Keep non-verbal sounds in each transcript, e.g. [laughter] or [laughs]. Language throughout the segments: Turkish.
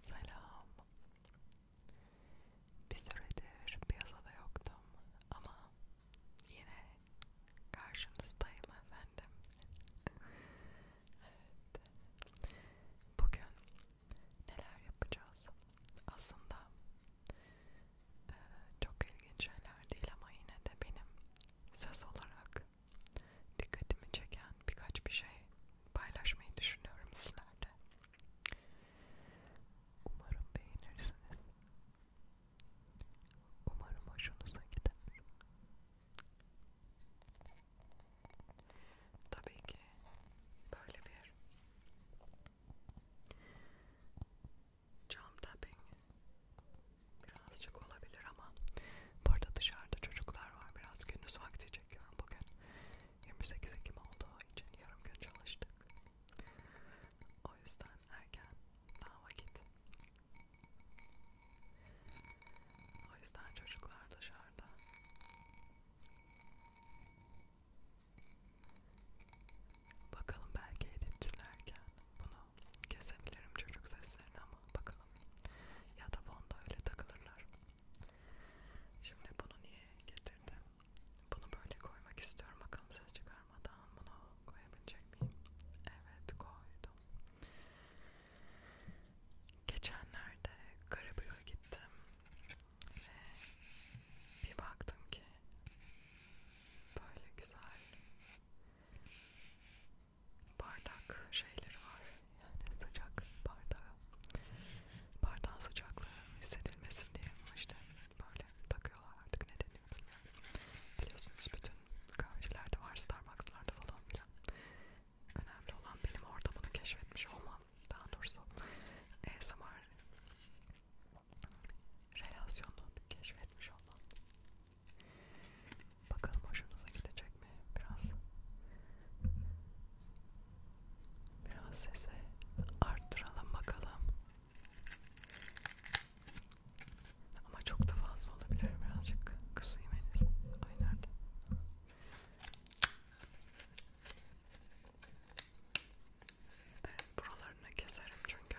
Selam. Bir süredir piyasada yoktum ama yine karşınızdayım efendim. evet. Bugün neler yapacağız? Aslında e, çok ilginç şeyler değil ama yine de benim ses olarak dikkatimi çeken birkaç bir şey paylaşmayı düşünüyorum sizlerle. Umarım beğenirsiniz. Umarım hoşunuza gider. Tabii ki böyle bir cam tapping birazcık olabilir ama bu arada dışarıda çocuklar var. Biraz gündüz vakti çekiyorum bugün. 28 Ekim olduğu için yarım gün çalıştık. O yüzden erken daha vakit. O yüzden çocuklar dışarıda. Bakalım belki editlerken bunu kesebilirim çocuk seslerini ama bakın ya da fonda öyle takılırlar. Şimdi bunu niye getirdim? Bunu böyle koymak istiyorum. Bakalım ses çıkarmadan bunu koyabilecek miyim? Evet koydum. Geçenlerde Karabük'e gittim ve bir baktım ki böyle güzel bardak şeyleri var yani sıcak bardağı bardağın sıcaklığı hissedilmesin diye işte böyle takıyorlar artık ne deniyor bilmiyorum biliyorsunuz bütün kahvelerde var Starbucks'larda falan filan önemli olan benim orada bunu keşfetmiş olmam daha doğrusu ASMR relasyonunu keşfetmiş olmam Bakalım hoşunuza gidecek mi? Biraz biraz sesi arttıralım bakalım. Ama çok da fazla olabilir. Birazcık kısayım henüz. Ay nerede? Evet, buralarını keserim çünkü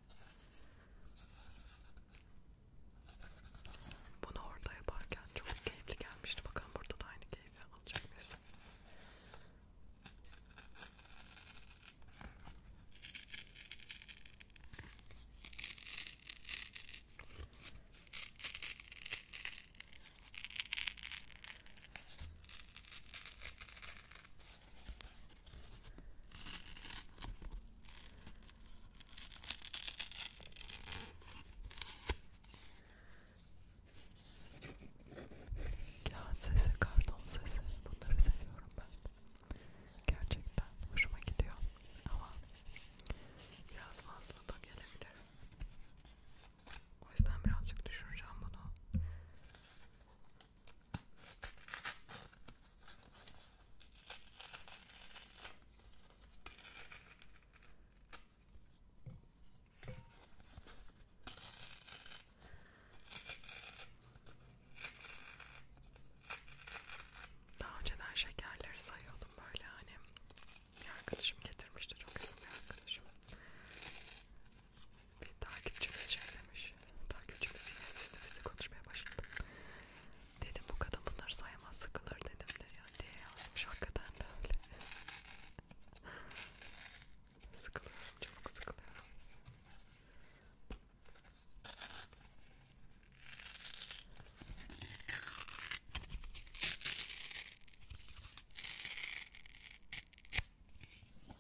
Bunu orada yaparken çok keyifli gelmişti. Bakalım burada da aynı keyfi alacak mıyız? Kağıt sesi, karton sesi bunları seviyorum ben. Gerçekten hoşuma gidiyor ama biraz fazla da gelebilir. O yüzden birazcık düşüreceğim bunu. Daha önceden şekerleri sayıyordum böyle hani bir arkadaşım getirmişti çok yakın bir arkadaşım bir takipçimiz şey demiş. Takipçimiz yine sizle bizle konuşmaya başladı. Dedim bu kadın bunları sayamaz sıkılır dedim de ya diye yazmış hakikaten de öyle. [laughs] sıkılıyorum çok sıkılıyorum.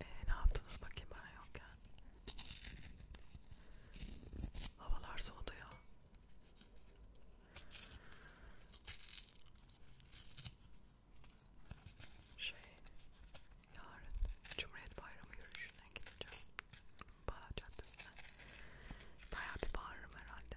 E, ne yaptınız bakayım ben yokken? Havalar soğudu ya. Şey, yarın Cumhuriyet Bayramı yürüyüşüne gideceğim. Bayağı caddesine. Bayağı bir bağırırım herhalde.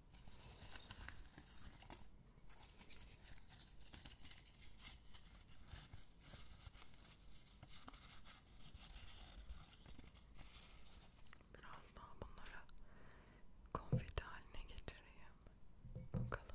Biraz daha bunları konfeti haline getireyim. Bakalım.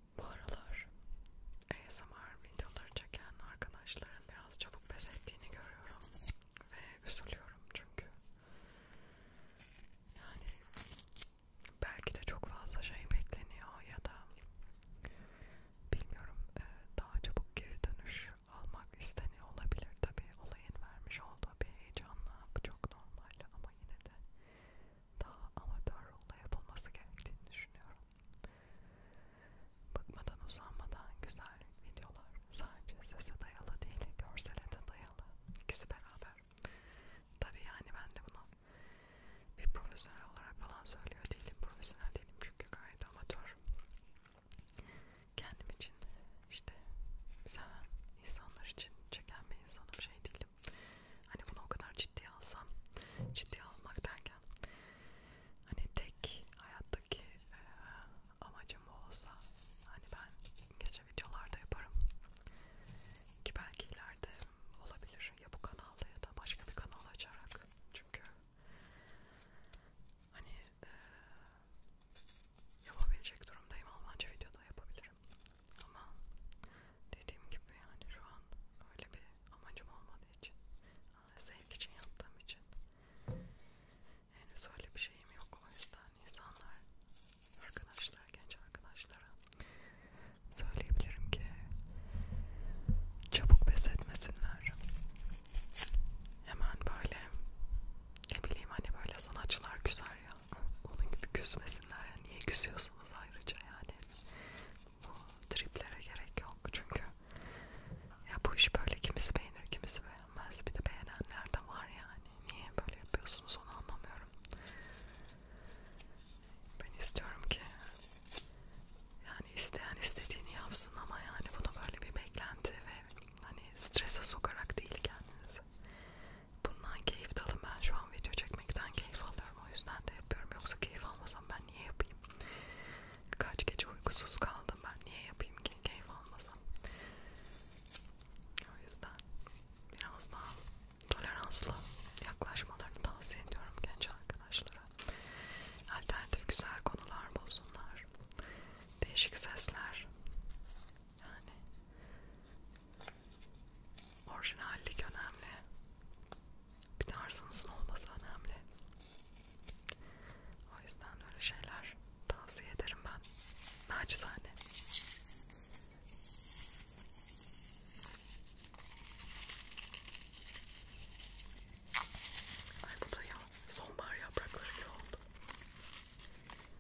aralar ASMR videoları çeken arkadaşların biraz çabuk pes ettiğini görüyorum ve üzülüyorum çünkü yani belki de çok fazla şey bekleniyor ya da bilmiyorum e, daha çabuk geri dönüş almak isteniyor olabilir tabi olayın vermiş olduğu bir heyecanla bu çok normal ama yine de daha amatör rolla yapılması gerektiğini düşünüyorum Bıkmadan uzanmadan güzel videolar. Sadece sese dayalı değil, görsele de dayalı. İkisi beraber. Tabii yani ben de bunu bir profesyonel olarak falan söylüyor değilim. Profesyonel değilim çünkü gayet amatör. Kendim için işte seven insanlar için çeken bir insanım şey değilim. Hani bunu o kadar ciddiye alsam, ciddiye almak derken hani tek hayattaki e, amacım olsa hani ben gece videolarda yaparım ki belki ileride olabilir ya bu kanalda ya da başka bir kanal açarak çünkü hani e, yapabilecek durumdayım Almanca videoda yapabilirim ama dediğim gibi yani şu an öyle bir amacım olmadığı için, e, zevk için yaptığım için henüz öyle bir şeyim yok. O yüzden insanlar, arkadaşlar, genç arkadaşlara söyleyebilirim ki çabuk pes etmesinler. Hemen böyle ne bileyim hani böyle sanatçılar güzel ya ya. Onun gibi küsmesinler ya. Niye küsüyorsunuz ayrıca yani? Bu triplere gerek yok çünkü. Ya bu iş böyle kimisi beğenir kimisi beğenmez. Bir de beğenenler de var yani. Niye böyle yapıyorsunuz onu anlamıyorum. Ben istiyorum ki yani isteyen istediğini yapsın ama yani bunu böyle bir beklenti ve hani strese sokarak değil kendinizi bundan keyif de alın. Ben şu an video çekmekten keyif alıyorum. O yüzden de yapıyorum. Yoksa keyif almasam ben niye yapayım? Kaç gece uykusuz kaldım ben niye yapayım ki keyif almasam? O yüzden biraz daha toleranslı yaklaşmalarını tavsiye ediyorum genç arkadaşlara. Alternatif güzel konular bulsunlar. Değişik sesler yani orijinallik önemli. Bir tarzınızın olması önemli. O yüzden öyle şeyler tavsiye ederim ben. Naçizane. Ay bu da ya sonbahar yaprakları gibi oldu.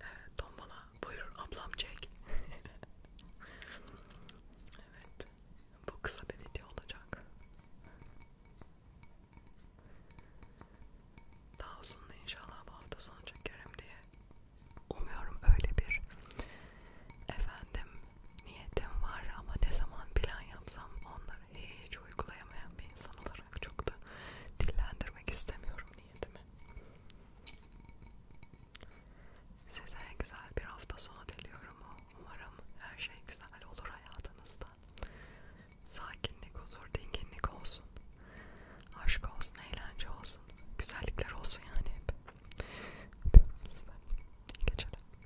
Evet, tombala. Buyur ablam çek. evet. Bu kısa bir video olacak. Daha uzun inşallah bu hafta sonu çekerim diye. Umuyorum öyle bir efendim niyetim var ama ne zaman plan yapsam onları hiç uygulayamayan bir insan olarak olarak çok da dillendirmek istemiyorum niyetimi. Size güzel bir hafta sonu diliyorum. Umarım her şey güzel olur hayatınızda. Sakinlik, huzur, dinginlik olsun. Aşk olsun, eğlence olsun. Güzellikler olsun yani hep. Geçelim.